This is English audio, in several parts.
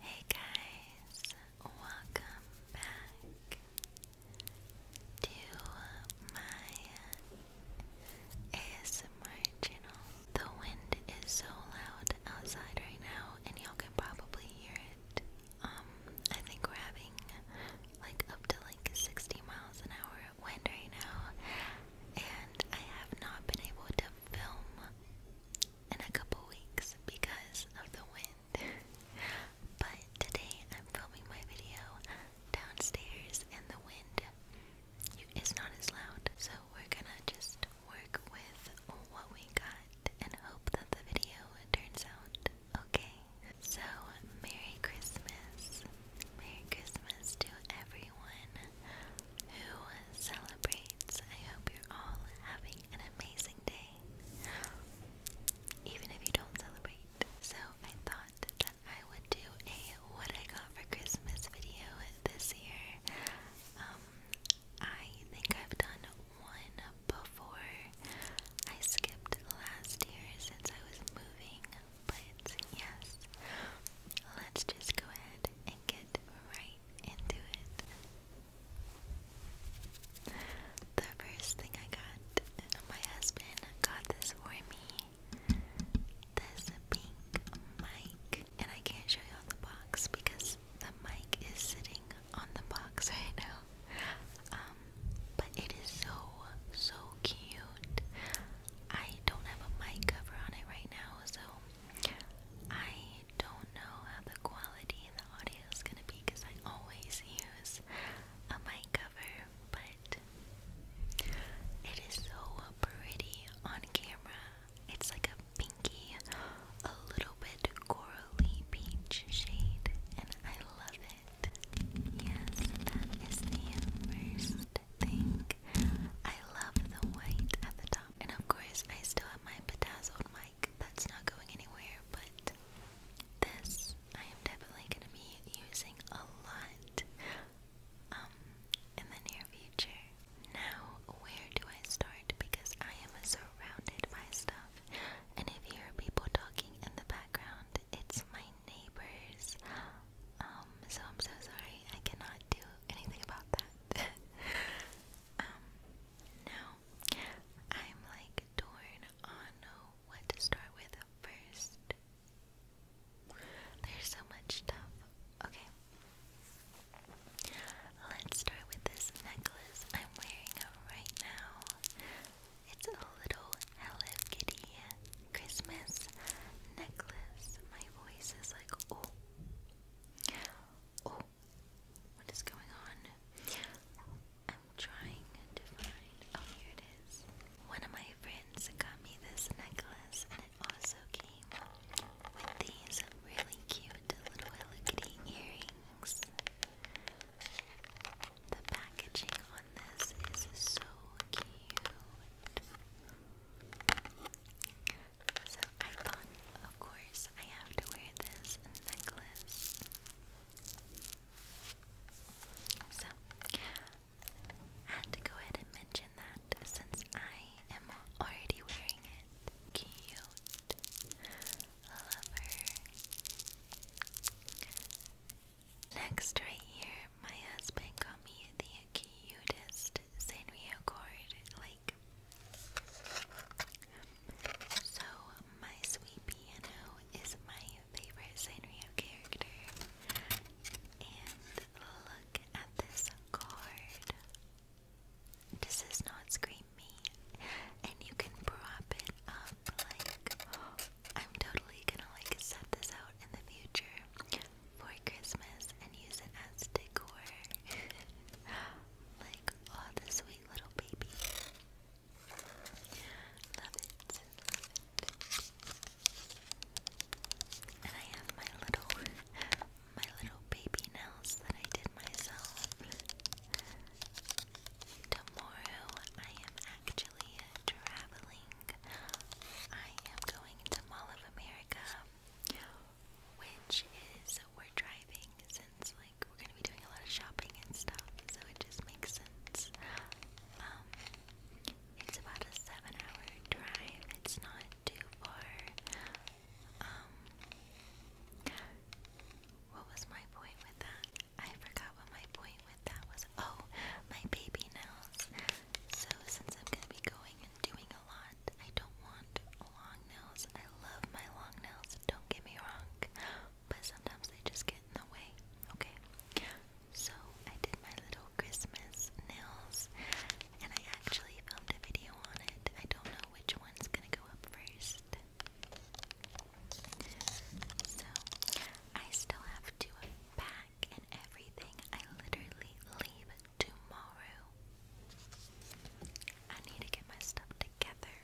Hey guys, welcome back to my ASMR channel. The wind is so loud outside right now, and y'all can probably hear it. Um, I think we're having like up to like 60 miles an hour wind right now, and I have not been able to film in a couple weeks because of the wind. but today I'm filming my video downstairs and the wind is not as loud. So we're gonna just work with what we got and hope that the video turns out okay. So, Merry Christmas! Merry Christmas to everyone who celebrates. I hope you're all having an amazing day, even if you don't celebrate. So, I thought that I would do a what I got for Christmas video this year. Um, I think I've done one before. I skipped last year since I was moving, but yes, let's just go ahead and get right into it. The first thing I got, my husband got this for me. This pink mic, and I can't show you the box because the mic is sitting on the box right now. Um, but it is so so cute. I don't have a mic cover on it right now, so I don't know how the quality of the audio is gonna be because I always use a mic cover, but it is so pretty on camera. It's like a pinky, a little bit corally peach shade, and I love it. Yes, that is the first thing. I love the white at the top and of course, I still have my bedazzled mic. That's not going anywhere, but this I am definitely going to be using a lot um, in the near future. Now, where do I start? Because I am surrounded by stuff. And if you hear people talking in the background, it's my neighbors. Um, so I'm so sorry. I cannot do anything about that. Um, now I'm like torn on what to start with first. There's so much stuff. Okay. Let's start with this necklace I'm wearing right now. It's a little Hello Kitty Christmas necklace. My voice is like, oh. Oh, what is going on? I'm trying to find. Oh, here it is. One of my friends got me this necklace, and it also came with these really cute little Hello earrings. The packaging on this is so cute. So I thought, of course, I have to wear this necklace. So I had to go ahead and mention that since I am already wearing it. Cute. Love her. Next, right here, my husband got me the cutest Sanrio Cord Lake. So, my sweet piano is my favorite Sanrio character. And look at this card. This is not Scream Me. And you can prop it up like. I'm totally gonna like set this out in the future for Christmas and use it as decor like, oh, the sweet little baby. Love it, love it. And I have my little, my little baby nails that I did myself. Tomorrow I am actually traveling. I am going to Mall of America which is we're driving since like we're gonna be doing a lot of shopping and stuff, so it just makes sense. Um, it's about a seven-hour drive. It's not too far. Um, what was my point with that? I forgot what my point with that was. Oh, my baby nails. So since I'm gonna be going and doing a lot. I don't want long nails. I love my long nails, don't get me wrong. But sometimes they just get in the way, okay? So I did my little Christmas nails and I actually filmed a video on it. I don't know which one's gonna go up first. So I still have to pack and everything. I literally leave tomorrow. I need to get my stuff together.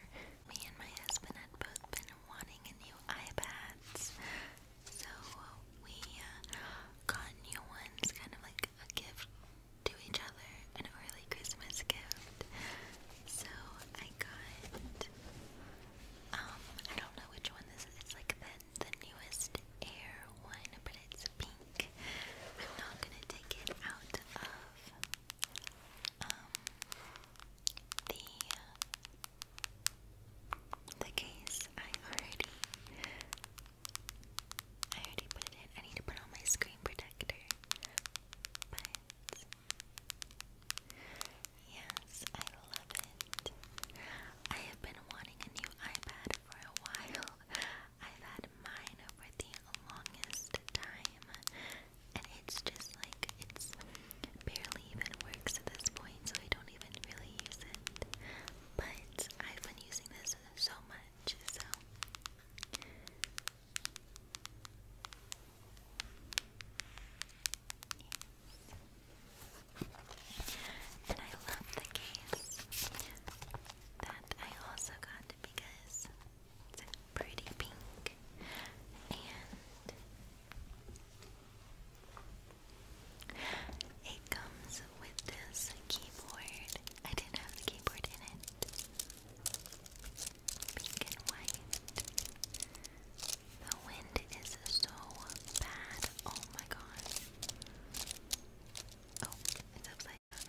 Me and my husband had both been wanting a new iPads, so we uh, got new ones, kind of like a gift to each other, an early Christmas gift. So I got, um, I don't know which one this It's like the the newest Air one, but it's pink. I'm not gonna take it out of um, the uh, the case. I already I already put it I need to put on my screen protector. But Yes, I love it. I have been wanting a new iPad for a while. I've had mine for the longest time, and it's just like it's barely even works at this point, so I don't even really use it. But I've been using this so much, so. And I love the case that I also got because it's a pretty pink and it comes with this keyboard. I didn't have the keyboard in it. Pink and white. The wind is so bad. Oh my god. Oh, it's upside and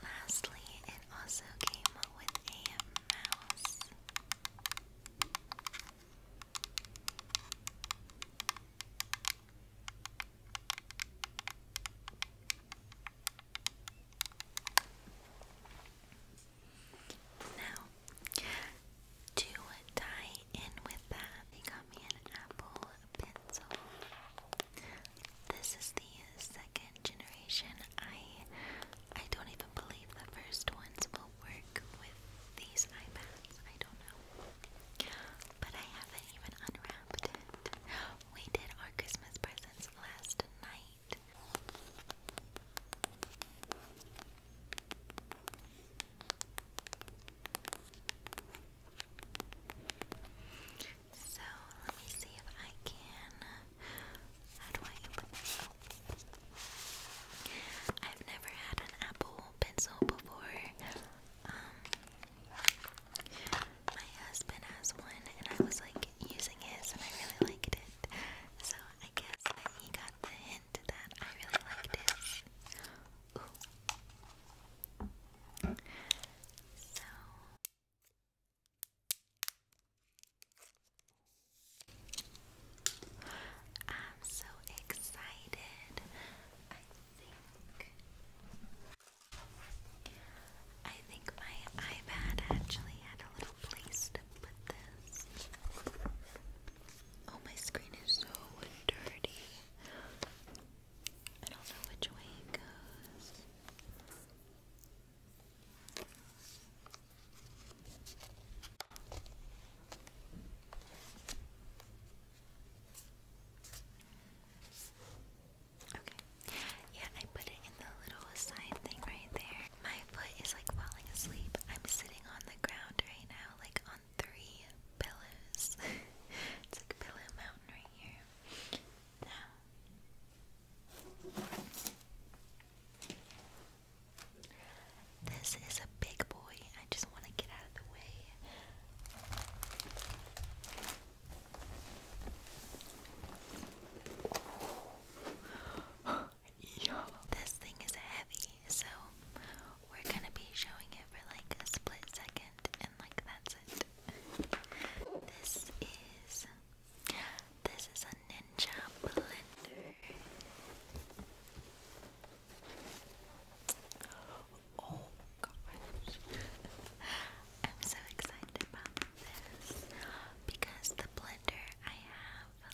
lastly, it also came with a mouse. Now, to tie in with that, they got me an Apple Pencil. This is the second generation. I I don't even believe the first ones will work with these iPads. I don't know. But I haven't even unwrapped it. We did our Christmas presents last night right. So let me see if I can. How do I open this? I've never had an Apple Pencil before. Um, my husband has one, and I was like using his, and I really liked it. So I guess he got the hint that I really like this. So. I'm so excited. I think my iPad actually had a little place put this. Oh, my screen is so dirty. I don't which way it goes. Okay. Yeah, I put it in the little side thing right there. My foot is like falling asleep. I'm sitting on the ground right now, like on three pillows. it's like Pillow Mountain right here. Now, this is a big boy. I just want to get out of the way. Yeah. This thing is heavy, so we're gonna be showing it for like a split second, and like that's it. This is this is a Ninja blender. Oh gosh. I'm so excited about this because the blender I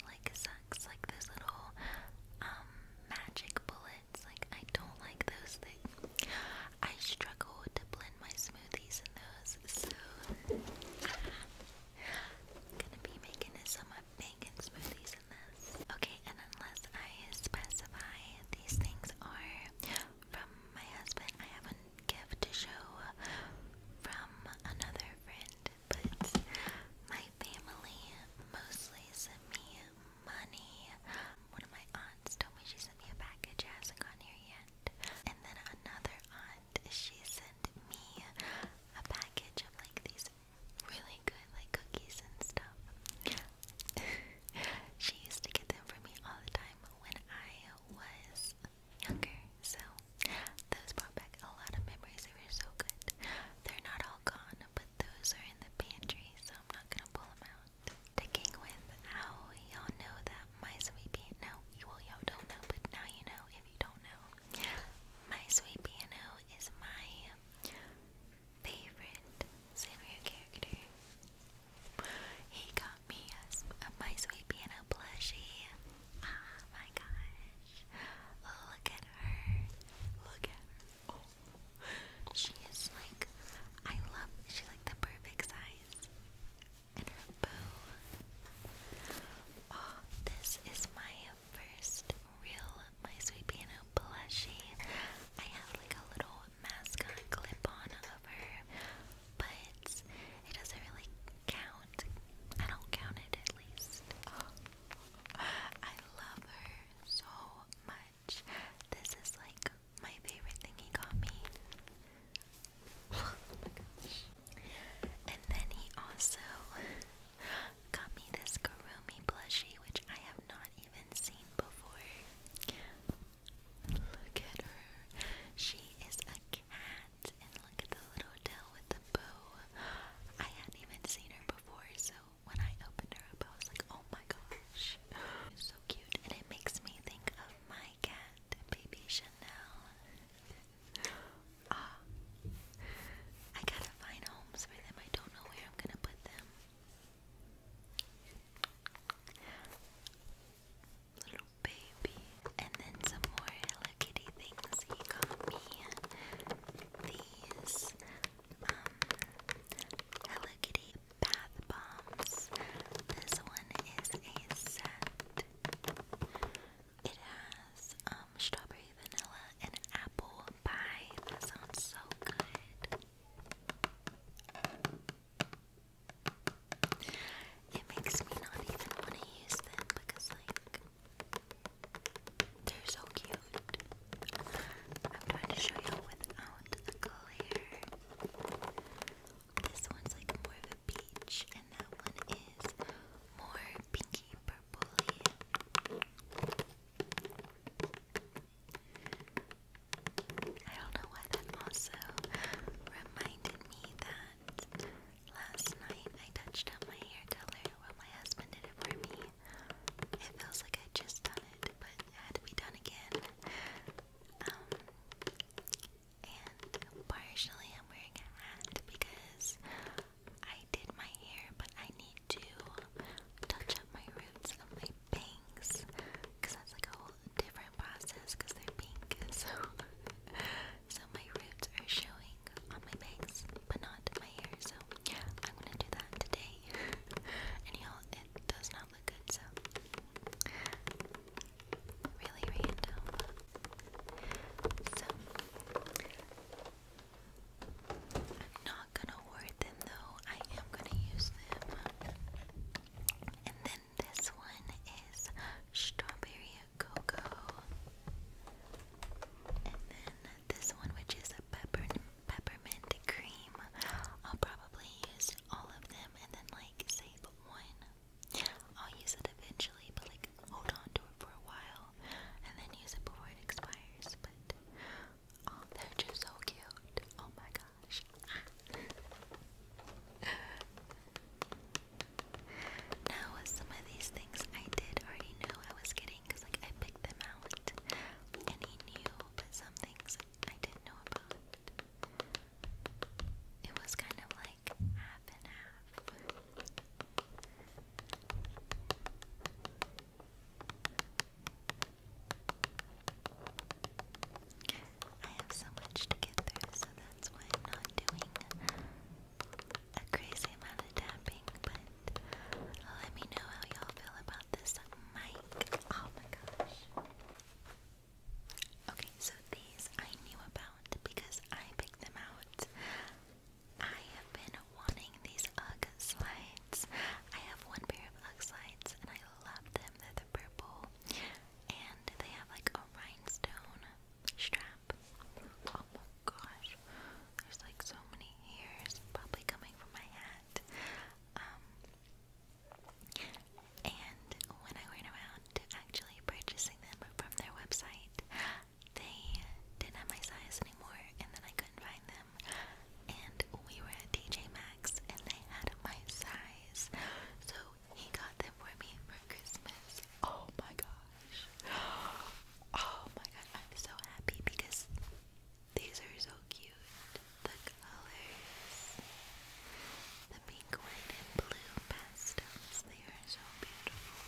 like sucks, like those little um, magic bullets. Like I don't like those things. I struggle to blend my smoothies in those, so gonna be making some bacon smoothies in this. Okay, and unless I specify, these things are from my husband. I have a gift to show from another friend but my family mostly sent me money. One of my aunts told me she sent me a package, it hasn't gone here yet. And then another aunt, she sent me a package of like these really good like cookies and stuff. she used to get them for me all the time when I was younger, so those brought back a lot of memories. They were so good. They're not all gone, but those are in the pantry, so I'm not gonna pull them out. Sticking with how y'all know that my sweet piano, well y'all don't know, but now you know if you don't know. My sweet piano is my favorite Sanrio character. He got me a, a my sweet piano plushie. Oh my gosh. Look at her. Look at her. She is like, I love, she's like the perfect size. And her bow. Oh, this is my first real My Sweet Piano plushie. I have like a little mascot clip on of but it doesn't really count I don't count it at least. I love her so much. This is like my favorite thing he got me. And then he also got me this Karumi plushie, which I have not even seen before. Look at her. She is a cat and look at the little tail with the bow. I hadn't even seen her before, so when I opened her up, I was like, oh my gosh. so cute, and it makes me think of my cat, Baby Chanel. Ah, I gotta find homes for them. I don't know where I'm gonna put them. Little baby baby. And then some more Hello Kitty things he got me. These um, Hello Kitty bath bombs. This one is a set. It has um, strawberry vanilla and apple pie. That sounds so good. It makes me not even want to use them because, like, they're so cute. I'm trying to show you without the glare. This one's like more of a peach, and that one is more pinky purpley. I don't know why that also reminded me that Last night I touched up my hair color while my husband did it for me. It feels like I just done it, but had to be done again. Um, and partially I'm wearing a hat because I did my hair, but I need to touch up my roots of my bangs because that's like a whole different process because they're pink. So So my roots are showing on my bangs, but not my hair. So I'm gonna do that today. Anyhow, it does not look good. So really random. So I'm not gonna word them though. I am gonna use them. And then this one is strawberry cocoa. And then this one, which is a peppermint cream. I'll probably use all of them and then like save one. I'll use it eventually, but like hold on to it for a while and then use it before it expires. But oh, they're just so cute. Oh my gosh. Now, some of these things I did already know I was getting because, like, I picked them out and he knew, but some things I didn't know about. It was kind of like half and half. I have so much to get through, so that's why I'm not doing a crazy amount of tapping, but let me know how y'all feel about this mic. Oh my gosh. Okay, so these I knew about because I picked them out. I have been wanting these UGG slides. I have one pair of UGG slides and I love them. They're the purple and they have like a rhinestone strap. Oh gosh, there's like so many hairs probably coming from my hat. Um, and when I went around to actually purchasing them from their website, they didn't have my size anymore, and then I couldn't find them. And we were at TJ Maxx, and they had my size, so he got them for me for Christmas. Oh my god! Oh my god, I'm so happy because these are so cute. The colors, the pink, white, and blue pastels, they are so beautiful.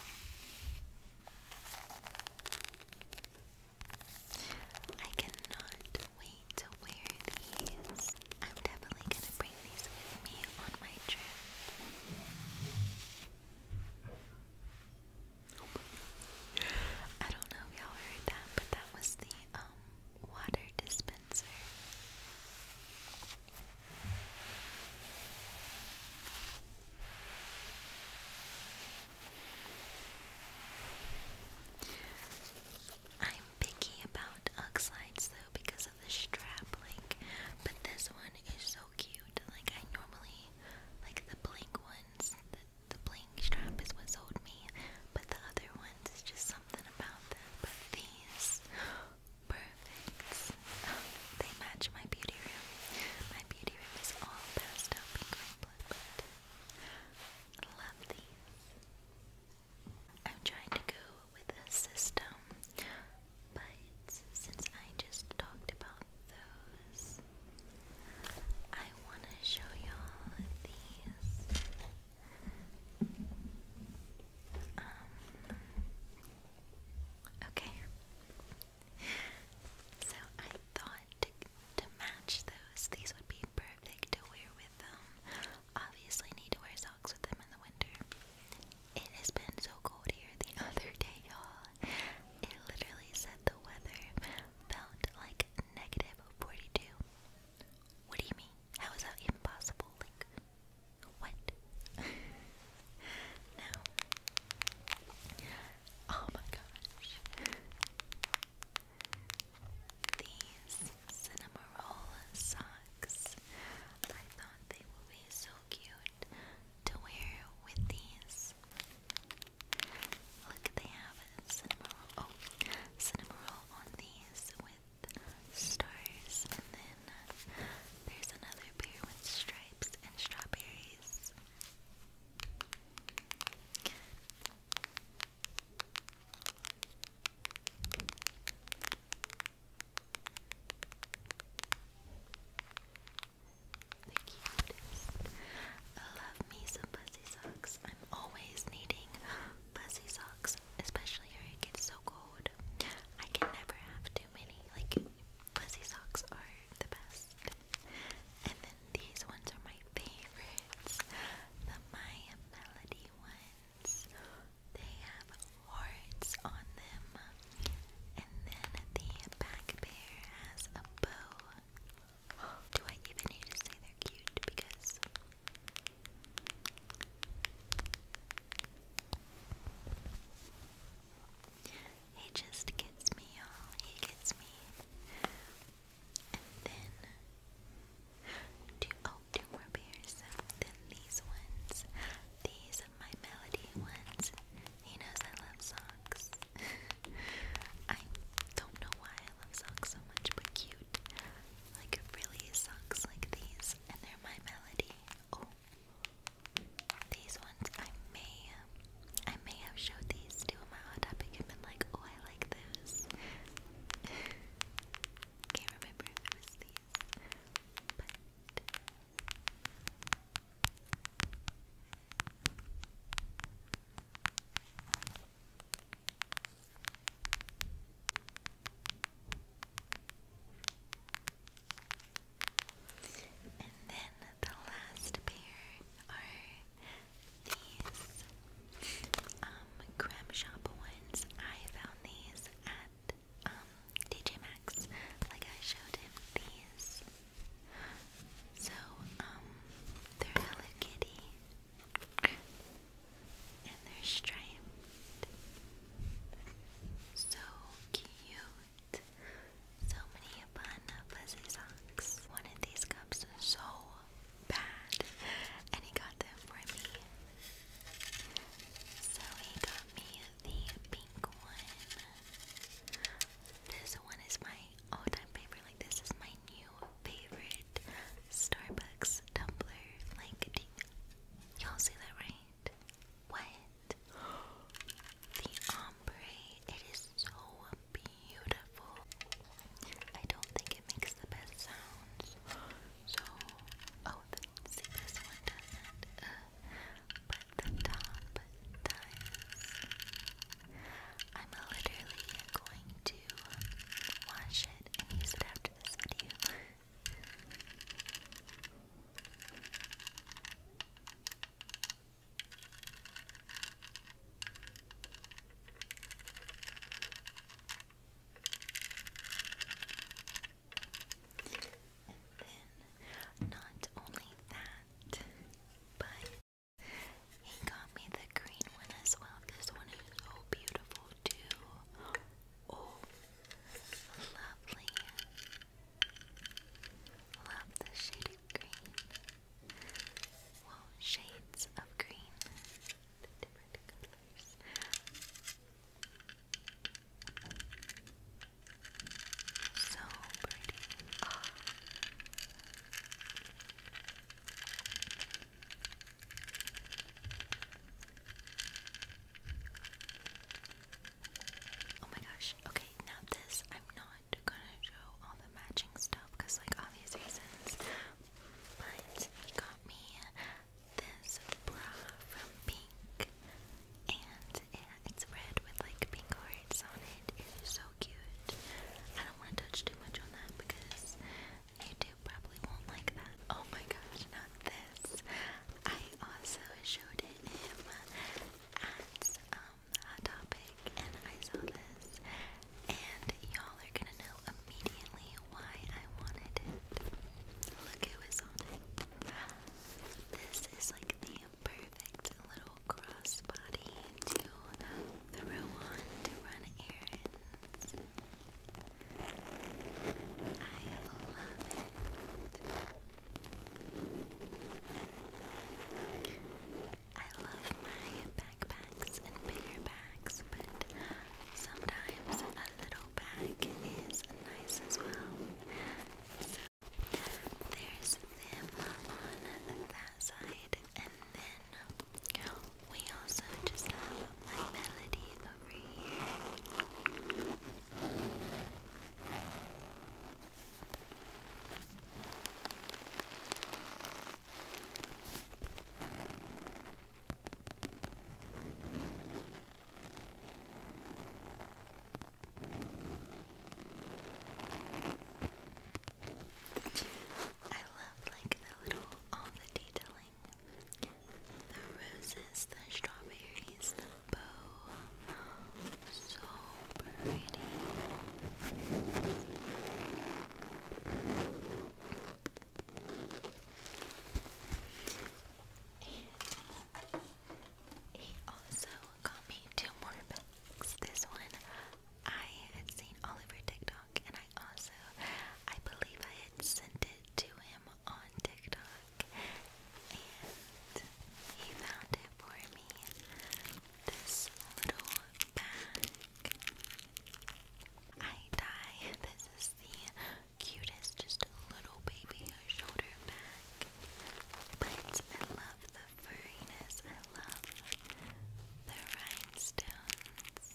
I cannot wait to wear these. I'm definitely gonna bring these with me on my trip. I don't know if y'all heard that, but that was the um, water dispenser. I'm picky about Uxlides though because of the strap link, but this one is so cute. Like I normally like the blink ones. The, the strap is what's sold me, but the other ones is just something about them. But these, perfect. they match my beauty room. My beauty room is all pastel and blue. But love these. I'm trying to go with a system but since I just talked about those, I want to show y'all these. Um, okay. So I thought to, to match those, these would be perfect to wear with them. Obviously, need to wear socks with them in the winter. It has been so cold here the other day, y'all. It literally said the weather felt like negative 42. What do you mean? How is that even Like, what? no. Oh my gosh. These cinnamon socks. I thought they would be so cute to wear with these. Look, they have a roll. Oh, cinema roll on these with stars, and then there's another pair with stripes and strawberries. The cutest. I love me some fuzzy socks. I'm always needing fuzzy socks, especially here it gets so cold. I can never have too many. Like fuzzy socks are the best. And then these ones are my favorites. The Maya Melody ones. They have warts on them. And then the back pair has a bow. Do I even need to say they're cute? Because he just gets me, all He gets me. And then two, oh, two more pairs. Then these ones. These my melody ones. He knows I love socks. I don't know why I love socks so much, but cute. Like really socks like these, and they're my melody. Oh, these ones I may, I may have showed these to my hot topic and been like, oh, I like those. Can't remember if it was these, but and then the last pair are these um, Creme Shop ones. I found these at um, DJ Max, Like I showed him these. So, um, they're Hello And they're striped. So cute. So many fun fuzzy socks. One of these cups so bad. And he got them for me. So he got me the pink one. This one is my all-time favorite. Like this is my new favorite Starbucks tumbler. Like y'all see that right? What? The ombre. It is so beautiful. I don't think it makes the best sounds. So, oh, see this one does uh, but the top does. I'm literally going to wash it and use it after this video. And then, not only that, but he got me the green one as well. This one is so beautiful, too. Oh, lovely. Love the shade green. Well, shades of green. different colors. So pretty. Oh. my gosh. Okay, now this I'm not gonna show all the matching stuff because like obvious reasons. But he got me this bra from Pink and it's red with like pink hearts on it. It's so cute. I don't want to touch too much on that because YouTube probably won't like that. Oh my gosh, not this. I also showed it him at um Hot Topic and I saw this and y'all are gonna know immediately why I wanted it. Look who is on it. This is like the perfect little crossbody to throw on to run errands. I love it. I love my backpacks and bigger bags, but sometimes a little bag is nice as well. So there's them on that side, and then we also just have my melody over here. I love like the little all the detailing. The roses, the strawberries, the bow. So pretty. He also got me two more bags. This one I had seen all over TikTok and I also I believe I had sent it to him on TikTok and he found it for me. This little bag. I die. This is the cutest, just a little baby shoulder bag. But I love the furriness, I love the rhinestones.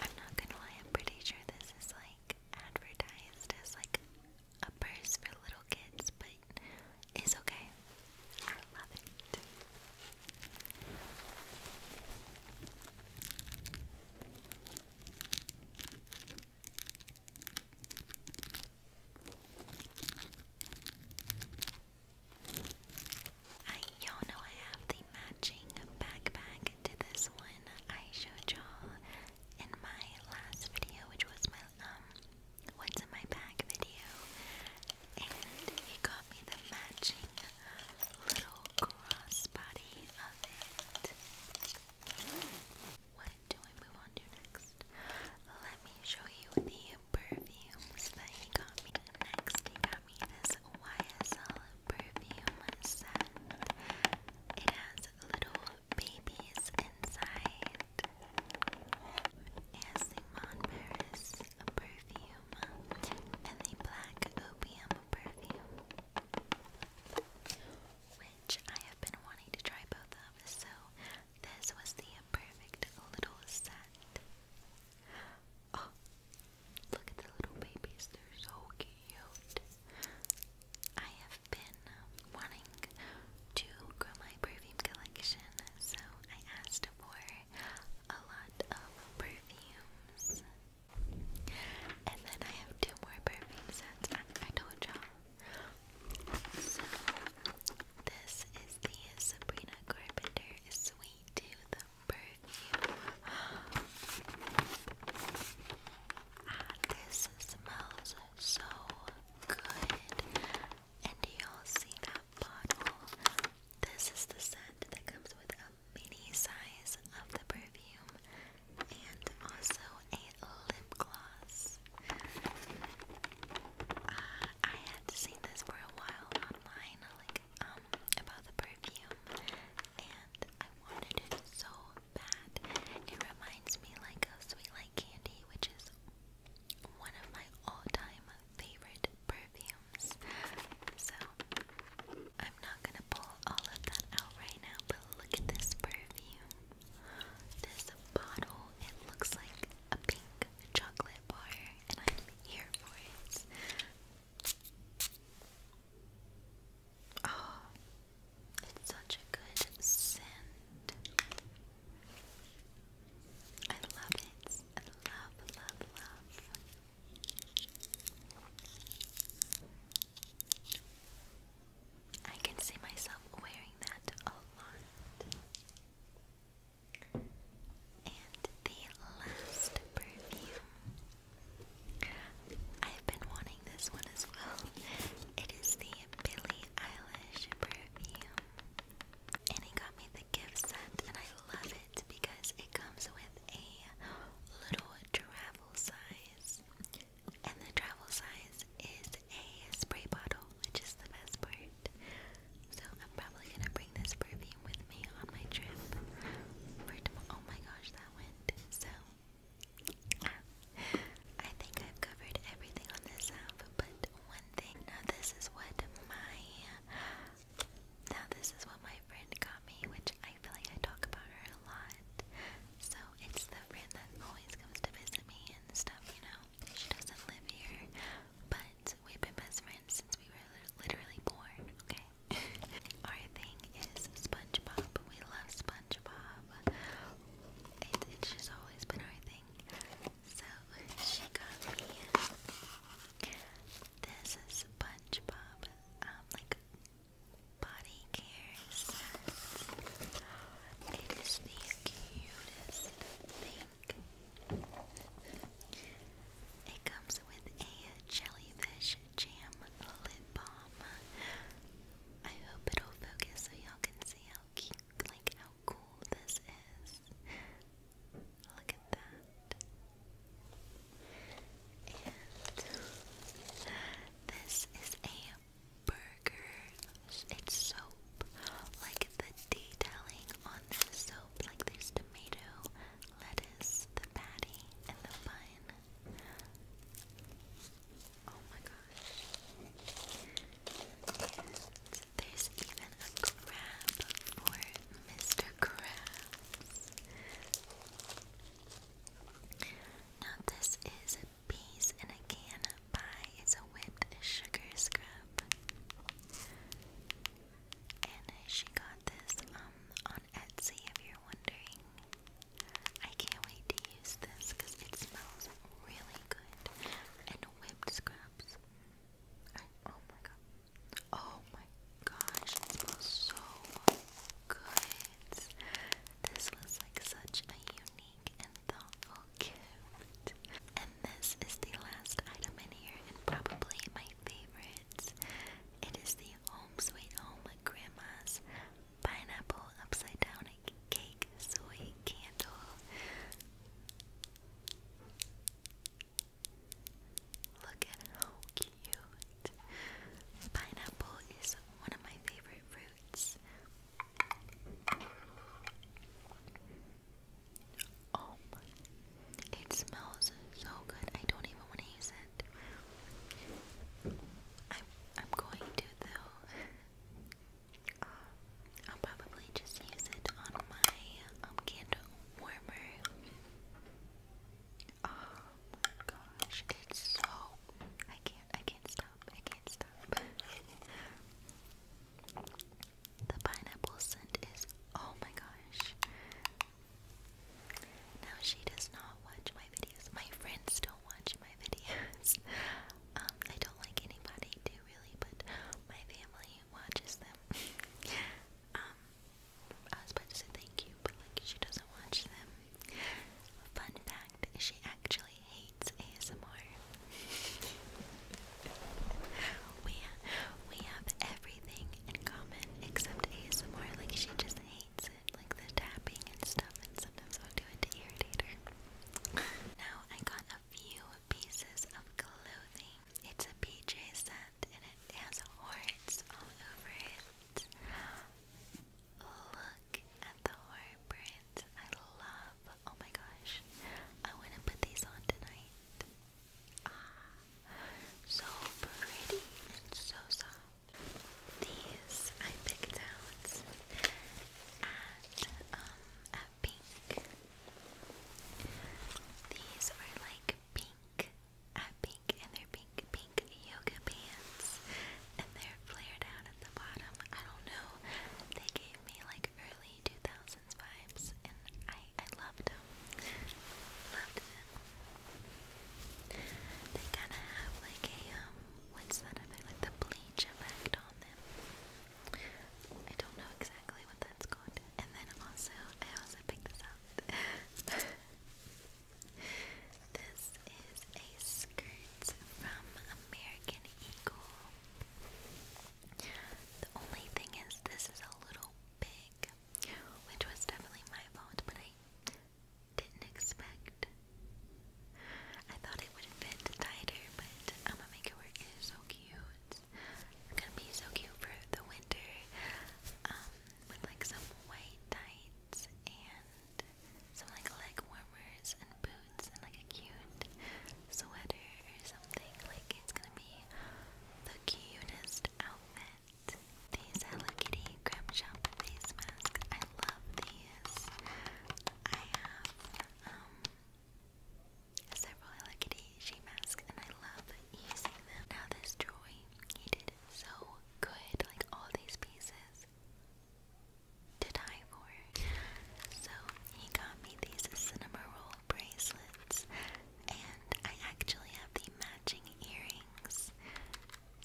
I'm not gonna lie, I'm pretty sure this is like advertised as like a purse for little kids, but it's okay. I y'all know I have the matching backpack to this one I showed y'all in my last video, which was my um what's in my bag video and he got me the matching little crossbody of it. What do we move on to next? Let me show you the perfumes that he got Next, he got me this YSL perfume set. It has little babies inside. ASMR Paris perfume and the black opium perfume, which I have been wanting to try both of, so this was the imperfect little set. Oh, look at the little babies, they're so cute. I have been wanting to grow my perfume collection, so I asked for a lot of perfumes. And then I have two more perfume sets. I, I told you So, this is the Sabrina Carpenter Sweet Tooth perfume. Ah, this smells so good. And y'all see that bottle? This is the scent that comes with a mini size of the perfume and also a lip gloss. Uh, I had seen this for a while online, like um about the perfume, and I wanted it so bad. It reminds me like a Sweet Like Candy, which is one of my all-time favorite perfumes. So I'm not gonna pull all of that out right now, but look at this perfume. This bottle, it looks like a pink chocolate bar, and I'm here for it. Oh, it's such a good scent. I love it and love, love, love. I can see myself wearing that a lot. And the last perfume. I've been wanting this one as well. It is the Billie Eilish perfume. And he got me the gift set, and I love it because it comes with a little travel size. And the travel size is a spray bottle, which is the best part. So I'm probably gonna bring this perfume with me on my trip. oh my gosh, that went so. I think I've covered everything on this app, but one thing. Now this is what my now, this is what my friend got me, which I feel like I talk about her a lot. So, it's the friend that always comes to visit me and stuff, you know. She doesn't live here, but we've been best friends since we were literally born, okay? Our thing is SpongeBob. We love SpongeBob. It, it's just always been our thing. So she got me this SpongeBob um like body care set. It is the cutest thing. It comes with a jellyfish jam lip balm. I hope it'll focus so y'all can see how cute, like how cool this is. Look at that. And this is a burger. It's soap. Like the detailing on this soap, like there's tomato, lettuce, the patty, and the bun. Oh my gosh. There's even a crab for Mr. Crab. Now this is a piece in a can pie. It's a whipped sugar scrub. And she got this um, on Etsy if you're wondering. I can't wait to use this because it smells really good. And whipped scrubs. oh my god. Oh my gosh, it smells so good. This was like such a unique and thoughtful gift. And this is the last item in here and probably my favorite. It is the Home Sweet Home Grandma's Pineapple Upside Down Cake Soy Candle. Look at how cute. Pineapple is one of my favorite fruits. Oh It smells so good. I don't even want to use it. I'm, I'm going to though. I'll probably just use it on my um, candle warmer. Oh my gosh, it's so I can't I can't stop. I can't stop. the pineapple scent is oh my gosh. Now she does not watch my videos. My friends don't watch my videos. Um, I don't like anybody to really, but my family watches them. Um, I was about to say thank you, but like she doesn't watch them. Fun fact: she actually hates ASMR. we we have everything in common except ASMR. Like she just hates it, like the tapping and stuff. And sometimes I'll do it to irritate her. now I got a few pieces of clothing. It's a PJ set and it has horns all over it. Look at the horn I love. Oh my gosh. I want to put these on tonight. Ah, so pretty and so soft. These I picked out at um pink. These are like pink at pink and they're pink pink yoga pants and they're flared out at the bottom. I don't know. They gave me like early 2000s vibes and I I loved them. Loved them. They kind of have like a um what's that effect like the bleach effect on them. I don't know exactly what that's god. And then also, I also picked this up. this is a skirt from American Eagle. The only thing is, this is a little big, which was definitely my fault, but I didn't expect. I thought it would fit tighter, but I'm gonna make it work. It is so cute. They're gonna be so cute for the winter. Um, with like some white tights and some like leg warmers and boots and like a cute sweater or something. Like it's gonna be the cutest outfit. These Hello Kitty Crab Shop face masks. I love these. I have um several Hello Kitty sheet masks, and I love using them. Now this Joy, he did so good, like all these pieces to die for. So he got me these cinema roll bracelets, and I actually have the matching earrings.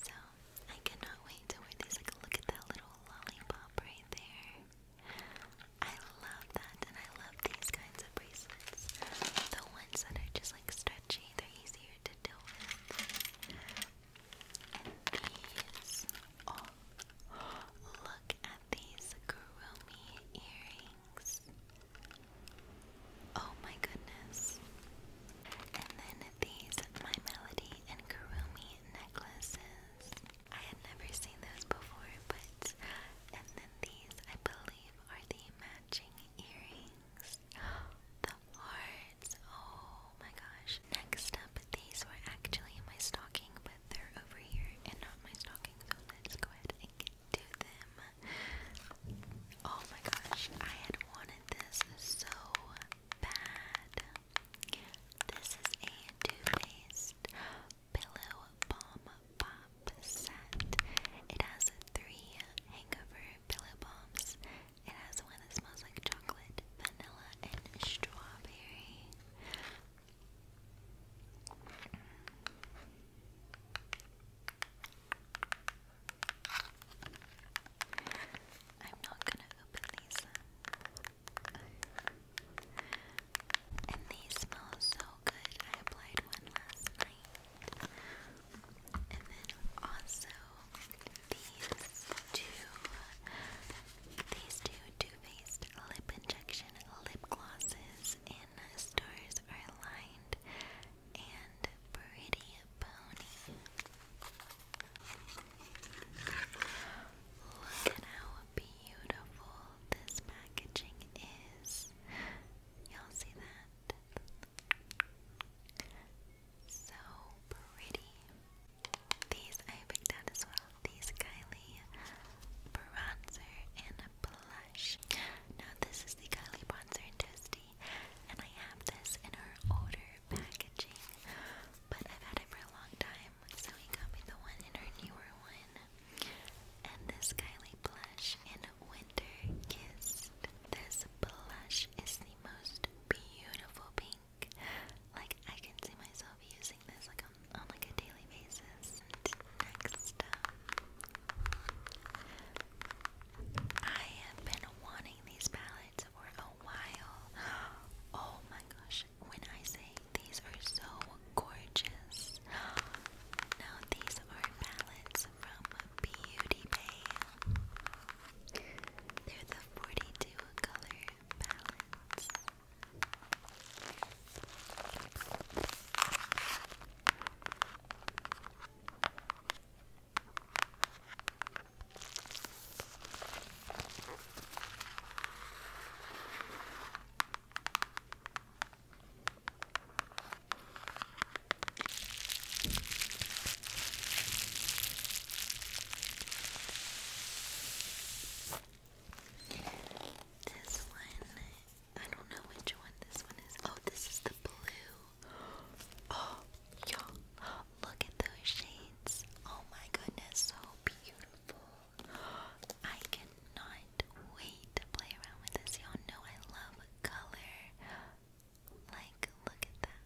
So I cannot wait to wear these. Like, look at that little lollipop right there. I love that, and I love these kinds of bracelets. The ones that are just like stretchy, they're easier to deal with. And these, oh, look at these groomy earrings. Oh my goodness. And then these My Melody and Kurumi necklaces. I had never seen those before, but. And then these, I believe are the matching earrings. The wards. Oh my gosh. Next up, these were actually my stocking, but they're over here and not my stocking, so let's go ahead and get them. Oh my gosh, I had wanted this so bad. This is a Too Pillow Balm Pop set. It has three hangover pillow bombs. It has one that smells like chocolate, vanilla, and strawberry. I'm not gonna open these. And these smell so good. I applied one last night. And then also these two these two Too Faced lip injection lip glosses in stars are lined and pretty pony. Look at how beautiful this packaging is. Y'all see that? So pretty. These I picked out as well. These Kylie bronzer and blush. Now this is the Kylie bronzer and toasty, and I have this in her older packaging, but I've had it for a long time, so he got me the one in her newer one and this Kylie blush in Winter Kissed. This blush is the most beautiful pink. Like I can see myself using this like on, on like a daily basis. Next up, um, I have been wanting these palettes for a while. Oh my gosh, when I say these are so gorgeous. Now, these are palettes from Beauty Bay. They're the 42 color palettes. This one, I don't know which one this one is. Oh, this is the blue. Oh, you look at those shades. Oh my goodness, so beautiful. I cannot wait to play around with this. Y'all know I love color. Like, look at that.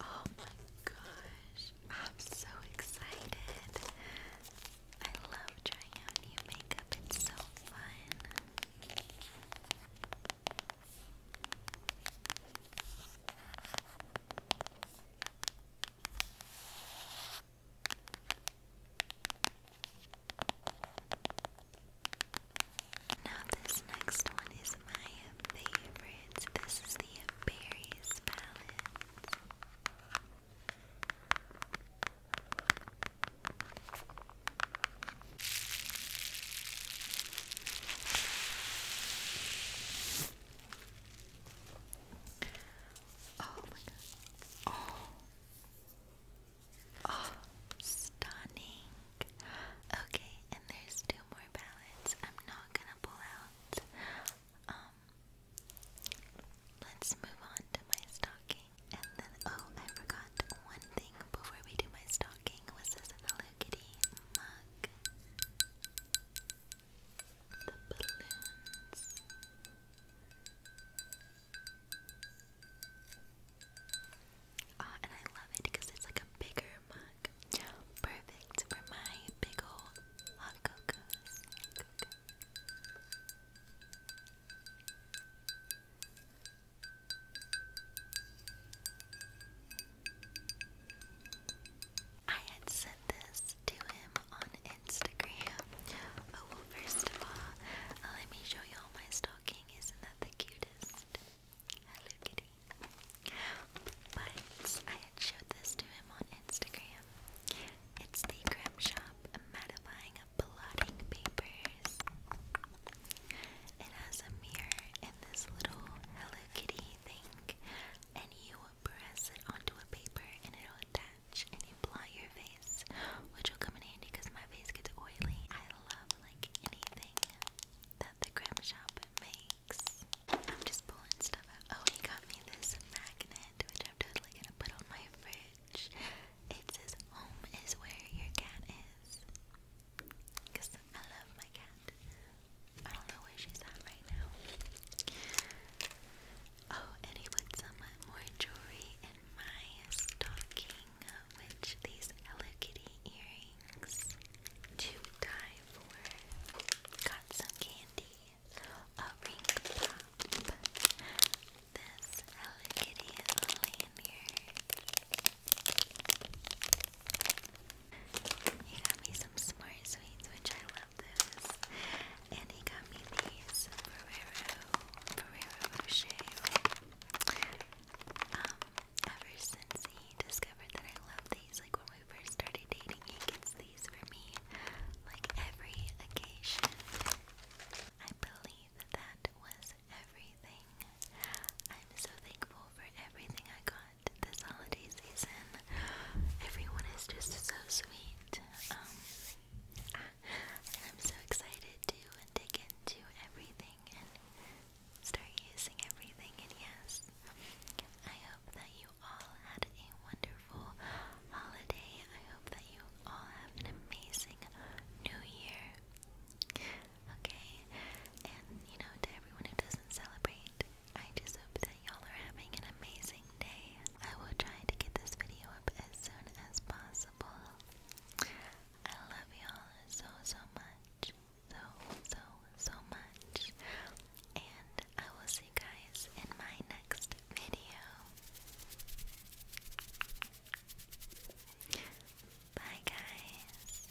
Oh my gosh. I'm so excited. I love trying new makeup. It's so fun. Now, this next one is my favorite. This is the berries palette. Oh my god. Oh. oh. stunning. Okay, and there's two more palettes. I'm not gonna pull out. Um, let's move on to my stocking. And then, oh, I forgot one thing before we do my stocking was this Hello Kitty mug the balloons. Ah, and I love it because it's like a bigger mug. Perfect for my big old hot I had sent this to him on Instagram. Oh, well, first of all, uh, let me show you all my stocking. Isn't that the cutest? Hello Kitty. But I had showed this to him on Instagram. It's the Grim Shop mattifying blotting papers. It has a mirror and this little Hello Kitty thing, and you press it onto a paper and it'll attach and you apply your face, which will come in handy because my face gets oily. I love like anything that the creme shop makes. I'm just pulling stuff out. Oh, he got me this magnet, which I'm totally gonna put on my fridge. It says home is where your cat is. Cause I love my cat. I don't know where she's at right now. Oh, and he put some more jewelry in my stocking, which these Hello Kitty earrings to die Got some candy, a ring pop, this Hello Kitty lanyard. He got me some smart sweets, which I love those. And he got me these um, ever since he discovered that I love these, like when we first started dating, he gets these for me, like every occasion. I believe that was everything. I'm so thankful for everything I got this holiday season. Everyone is just so sweet. Um, I'm so excited to dig into everything and start using everything. And yes, I hope that you all had a wonderful holiday. I hope that you all have an amazing new year. Okay? And you know, to everyone who doesn't celebrate, I just hope that y'all are having an amazing day. I will try to get this video up as soon as possible. I love y'all so, so much. So, so, so much. And I will see you guys in my next video. Bye, guys.